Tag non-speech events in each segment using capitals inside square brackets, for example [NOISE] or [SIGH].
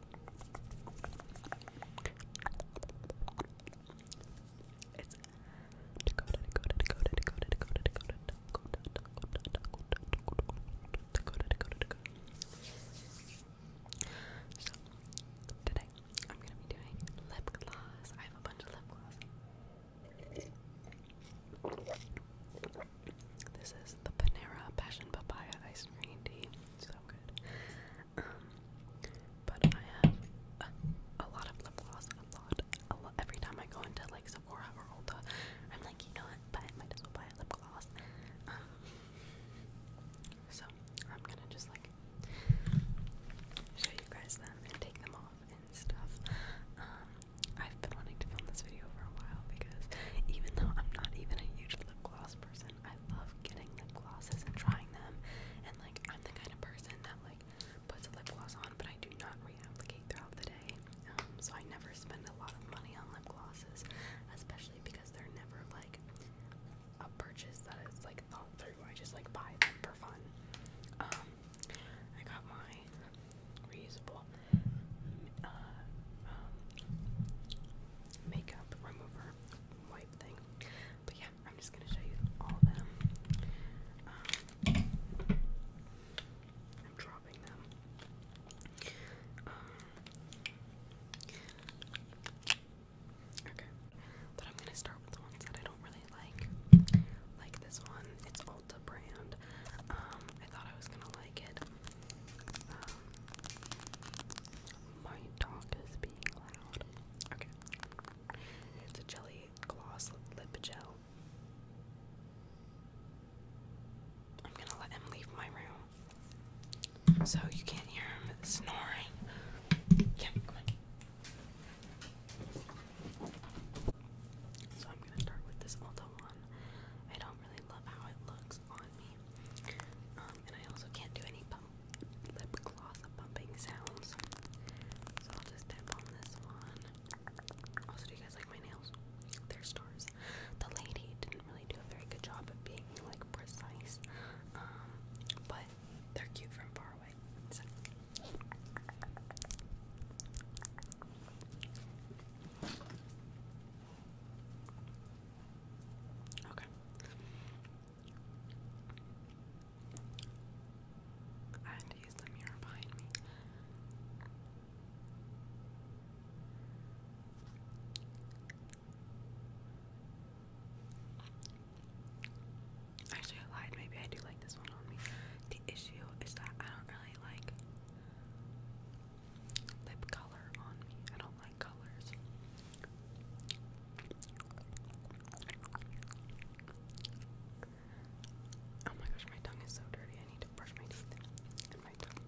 So today I'm gonna be doing lip gloss. I have a bunch of lip gloss. This is the Panera Passion Papaya Ice Cream Tea so good. Um, but I have a, lot of lip gloss, a lot, Every time I go into like Sephora or Ulta, I'm like, you know what? But I might as well buy a lip gloss. Um, so I'm gonna just like show you guys them and take them off and stuff. Um, I've been wanting to film this video for a while because even though I'm not even a huge lip gloss person, person. I love getting lip glosses and trying them. And like I'm the kind of person that like puts a lip gloss on, but I do not reapplicate throughout the day. Um, so I never spend a lot of money on lip glosses, especially because they're never like a purchase that is like thought through. I just like buy them for fun. Um, I got my reusable uh, um, makeup remover wipe thing. But yeah, I'm just gonna show you all of them. Um, I'm dropping them. Um, okay, but I'm gonna start with the ones that I don't really like. Like this one, it's Ulta brand. Um, I thought I was gonna like it. Um, my dog is being loud. Okay. It's a jelly gloss lip gel. I'm gonna let him leave my room. So you can't hear him snoring. So I'm gonna start with this Ulta one. I don't really love how it looks on um, and I also can't do any pump lip gloss bumping sounds. So I'll just tap on this one. Also, do you guys like my nails? They're stars. The lady didn't really do a very good job of being like precise. Um, but they're cute from far away. Okay. I had the mirror behind me. Actually, I lied. Maybe I do like this one on me. The issue is that I don't really like lip color on me. I don't like colors. Oh my gosh, my tongue is so dirty. I need to brush my teeth my tongue.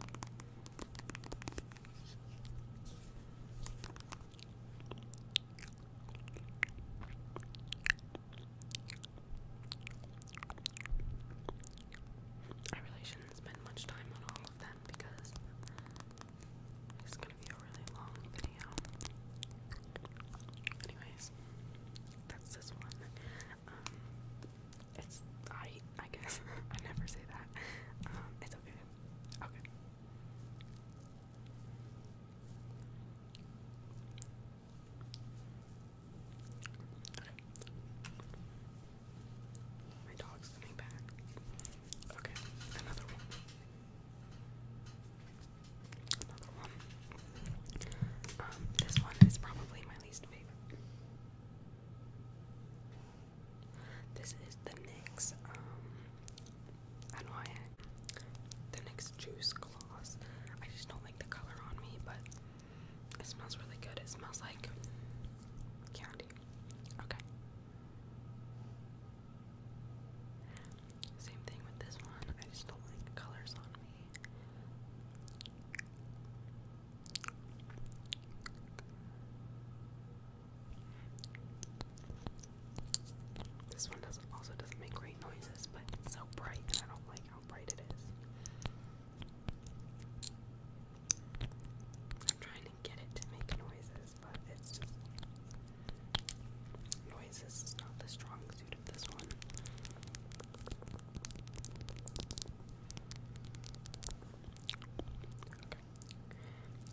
I really shouldn't spend much time on all of them because it's gonna be a really long video. Anyways, that's this one. Um, it's I I guess [LAUGHS] I never say that. Um, it's okay. Okay. My dog's coming back. Okay, another one. Another one. Um, this one is probably my least favorite. This is the next, um, I the NYX Juice Gloss. I just don't like the color on me, but it smells really good. It smells like candy. Okay. Same thing with this one. I just don't like colors on me. This one also doesn't make great noises, but it's so bright I don't like how bright it is. I'm trying to get it to make noises, but it's just noises not the strong suit of this one.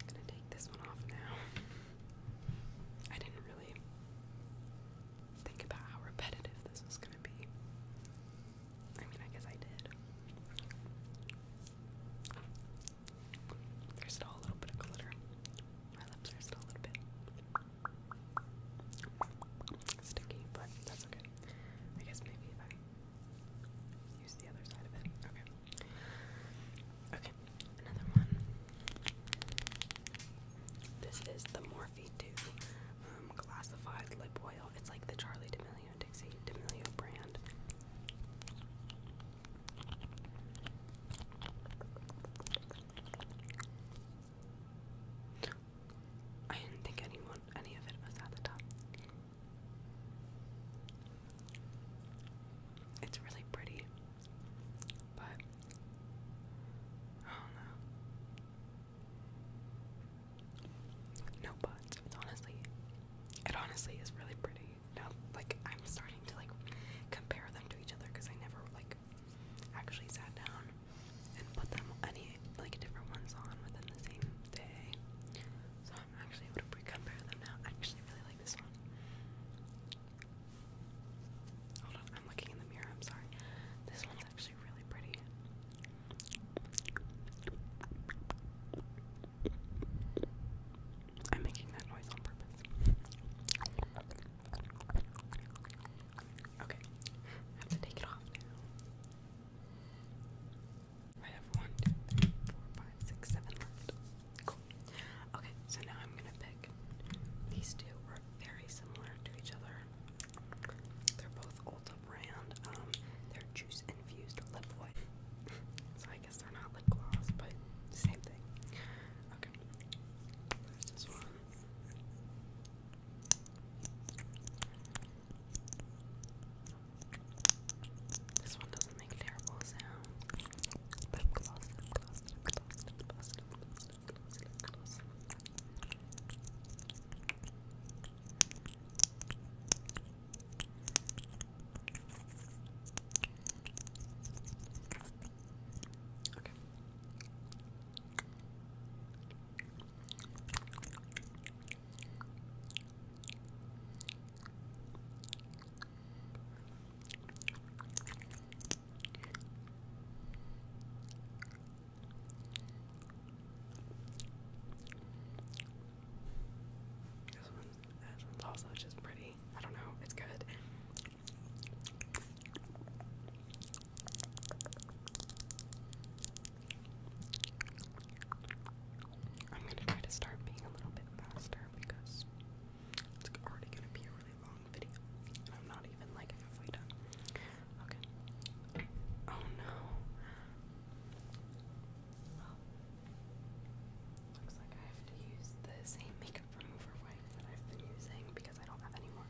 gonna take this one off now. I didn't really think about how repetitive this was gonna be. I mean, I guess I did. There's still a little bit of glitter. My lips are still a little bit sticky, but that's okay. I guess maybe if I use the other side of it. Okay. Okay, another one. This is the Morphe um, it's like the Charlie D'Amelio Dixie D'Amelio brand. I didn't think anyone, any of it was at the top. It's really pretty, but I do no buts. Honestly, it honestly is really pretty. Now, like I'm starting to like compare them to each other because I never like actually sat down and put them any like different ones on within the same day. So I'm actually able to compare them now. I actually really like this one. Hold on, I'm looking in the mirror. I'm sorry. This one's actually actually really I'm making that noise on purpose. Okay, I have to take it off I have one, two, three, four, five, six, seven left. Cool. Okay, so now I'm gonna pick these two very similar to each other. They're both Ulta brand. Um, they're juice infused lip oil. so I guess they're not lip gloss, but same thing. Okay. this one. This one doesn't make terrible sound. Lip gloss, lip gloss, lip gloss, lip gloss, lip gloss look close, look close. Okay. Okay. This one's, this one's also just pretty. I don't know, it's good. I'm gonna try to start being a little bit faster because it's already gonna be really long video. I'm not even like halfway done. Okay. Oh no. looks like I have to use the same makeup remover wipe that I've been using because I don't have any more.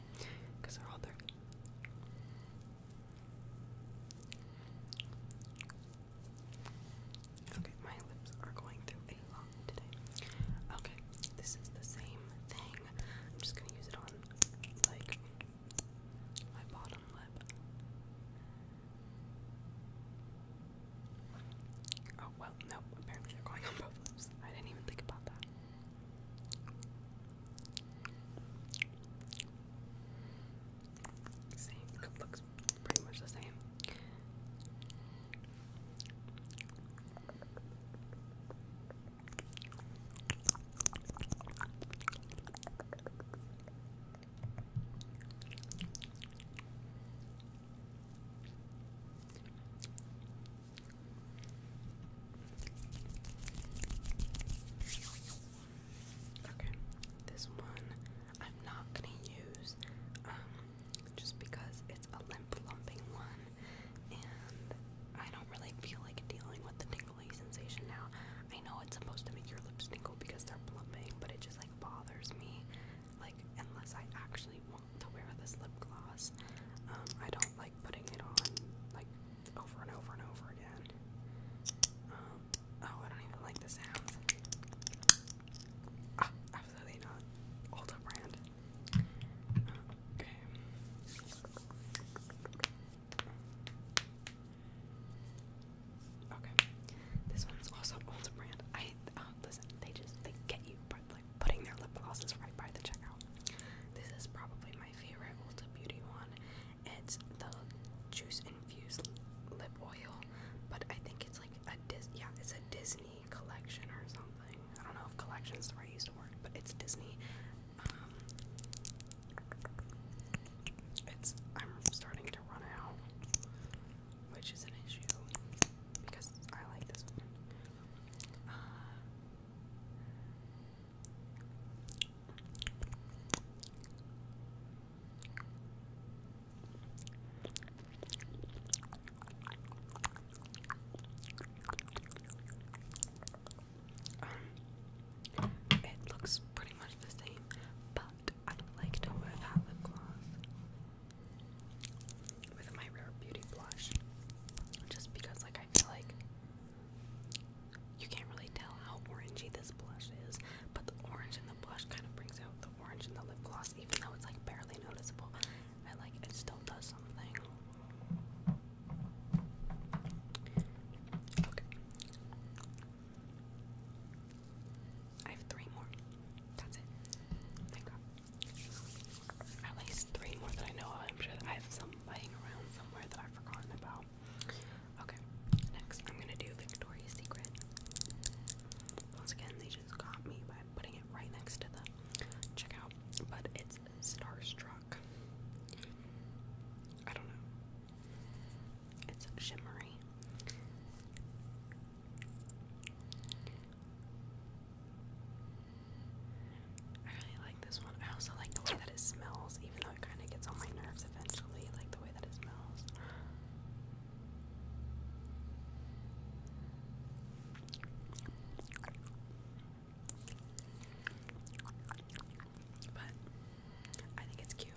Because they're all dirty. Okay, my lips are going through a lot today. Okay, this is the same thing I'm just gonna use it on like my bottom lip. Oh well, no, apparently they're going on both lips. I didn't even think about that. Same, looks pretty much the same. Okay, this one I'm not gonna use um, just because it's a limp lumping one. I don't really feel like dealing with the tingly sensation now. I know it's supposed to make your lips tingle because they're plumping, but it just like bothers me. Like unless I actually want to wear this lip gloss, um, I don't like putting it on like over and over and over again. Um, oh, I don't even like the sound. Ah, absolutely not. Ulta brand. Okay. Okay. This one's also Ulta brand. I uh, listen. They just they get you, but like putting their lip glosses right by the checkout. This is probably my favorite Ulta Beauty one. It's the juice infused lip oil, but I think it's like a Dis. Yeah, it's a Disney collection or something. I don't know if collection's the right use to work, but it's Disney. Um, it's I'm starting to run out, which is an issue because I like this one. Uh, um, it looks pretty much the same, but I like to wear that lip gloss with my Rare Beauty blush, just because, like, I feel like you can't really tell how orangey this blush is, but the orange in the blush kind of brings out the orange in the lip gloss, even though it's like barely noticeable and like it still does something. Okay. I have three more. That's it. Thank God. At least three more that I know I'm sure that I have some lying around somewhere that I've forgotten about. Okay, next I'm gonna do Victoria's Secret. Once again, these got me by putting it right next to the checkout, but it's Starstruck. I don't know. It's shimmery. I really like this one. I also like the way that it smells, even though it kind of gets on my nerves eventually, like the way that it smells. But I think it's cute.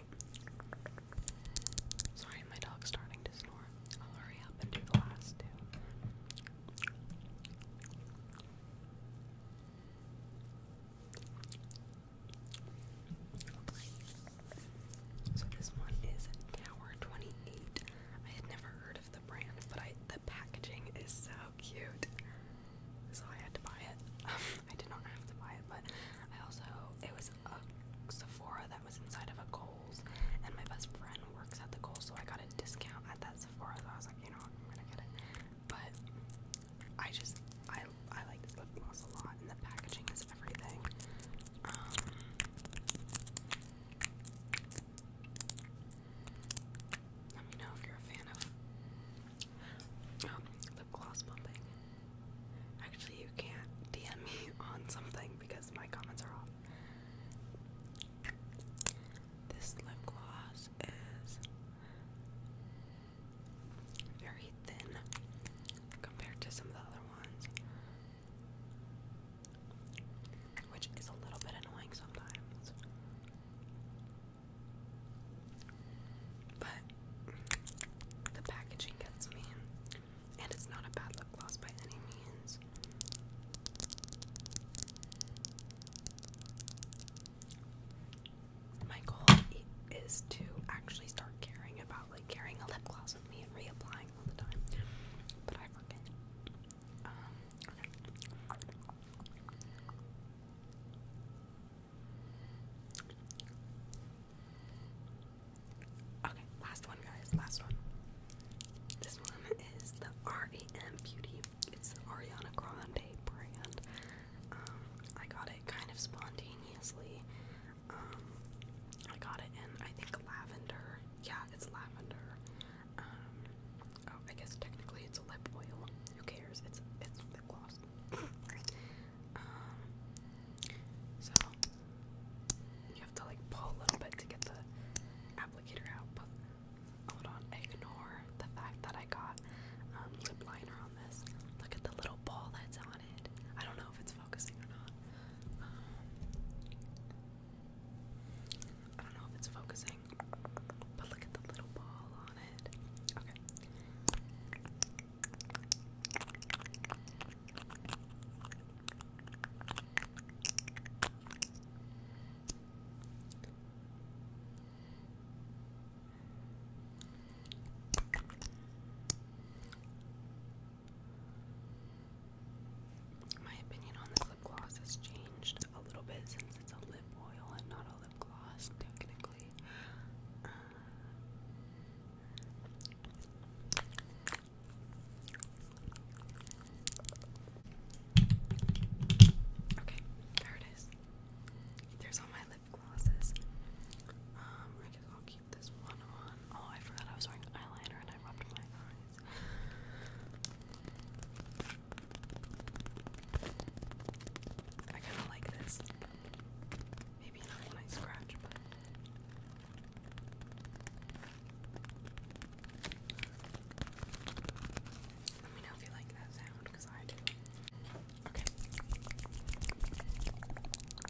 Sorry, my dog's starting to snore. I'll hurry up and do the last two. So this one is Tower 28. I had never heard of the brand, but the packaging is so cute. So I had to buy it. [LAUGHS] Um, I did not have to buy it, but I also it was a Sephora that was inside of a Kohl's, and my best friend works at the Kohl's, so I got a discount at that Sephora. So I was like, you know, I'm gonna get it. But I just I I like this lip gloss a lot, and the packaging is everything. Um, let me know if you're a fan of um, lip gloss pumping. Actually, you can't DM me [LAUGHS] on something because my comments are off. This lip gloss is very thin compared to some of the other ones. Which is a little bit annoying sometimes. But the packaging gets me. And it's not a bad lip gloss by any means. My goal is to actually start caring about like carrying a lip gloss with me and reapplying um, okay. last one, guys. Last one. This one is the REM Beauty. It's Ariana Grande brand. Um, I got it kind of spontaneously. Um, I got it in, I think, lavender. Yeah, it's lavender. Um, oh, I guess technically it's a lip oil. Who cares? It's it's lip gloss. [LAUGHS] Um, so you have to like pull a little bit to get the applicator out. But hold on, ignore the fact that I got um, lip liner on this. Look at the little ball that's on it. I don't know if it's focusing or um, I don't know if it's focusing, but look at the little ball on it. My opinion on this lip gloss has changed a little bit since it's a lip oil and not a lip gloss, technically. Uh, okay, there it is. There's all my lip glosses. Um, this one on. Oh, I forgot I was wearing eyeliner and I rubbed my eyes. I kind of like this. Maybe not my scratch, but. Let me know if you like that sound, because I do. Okay.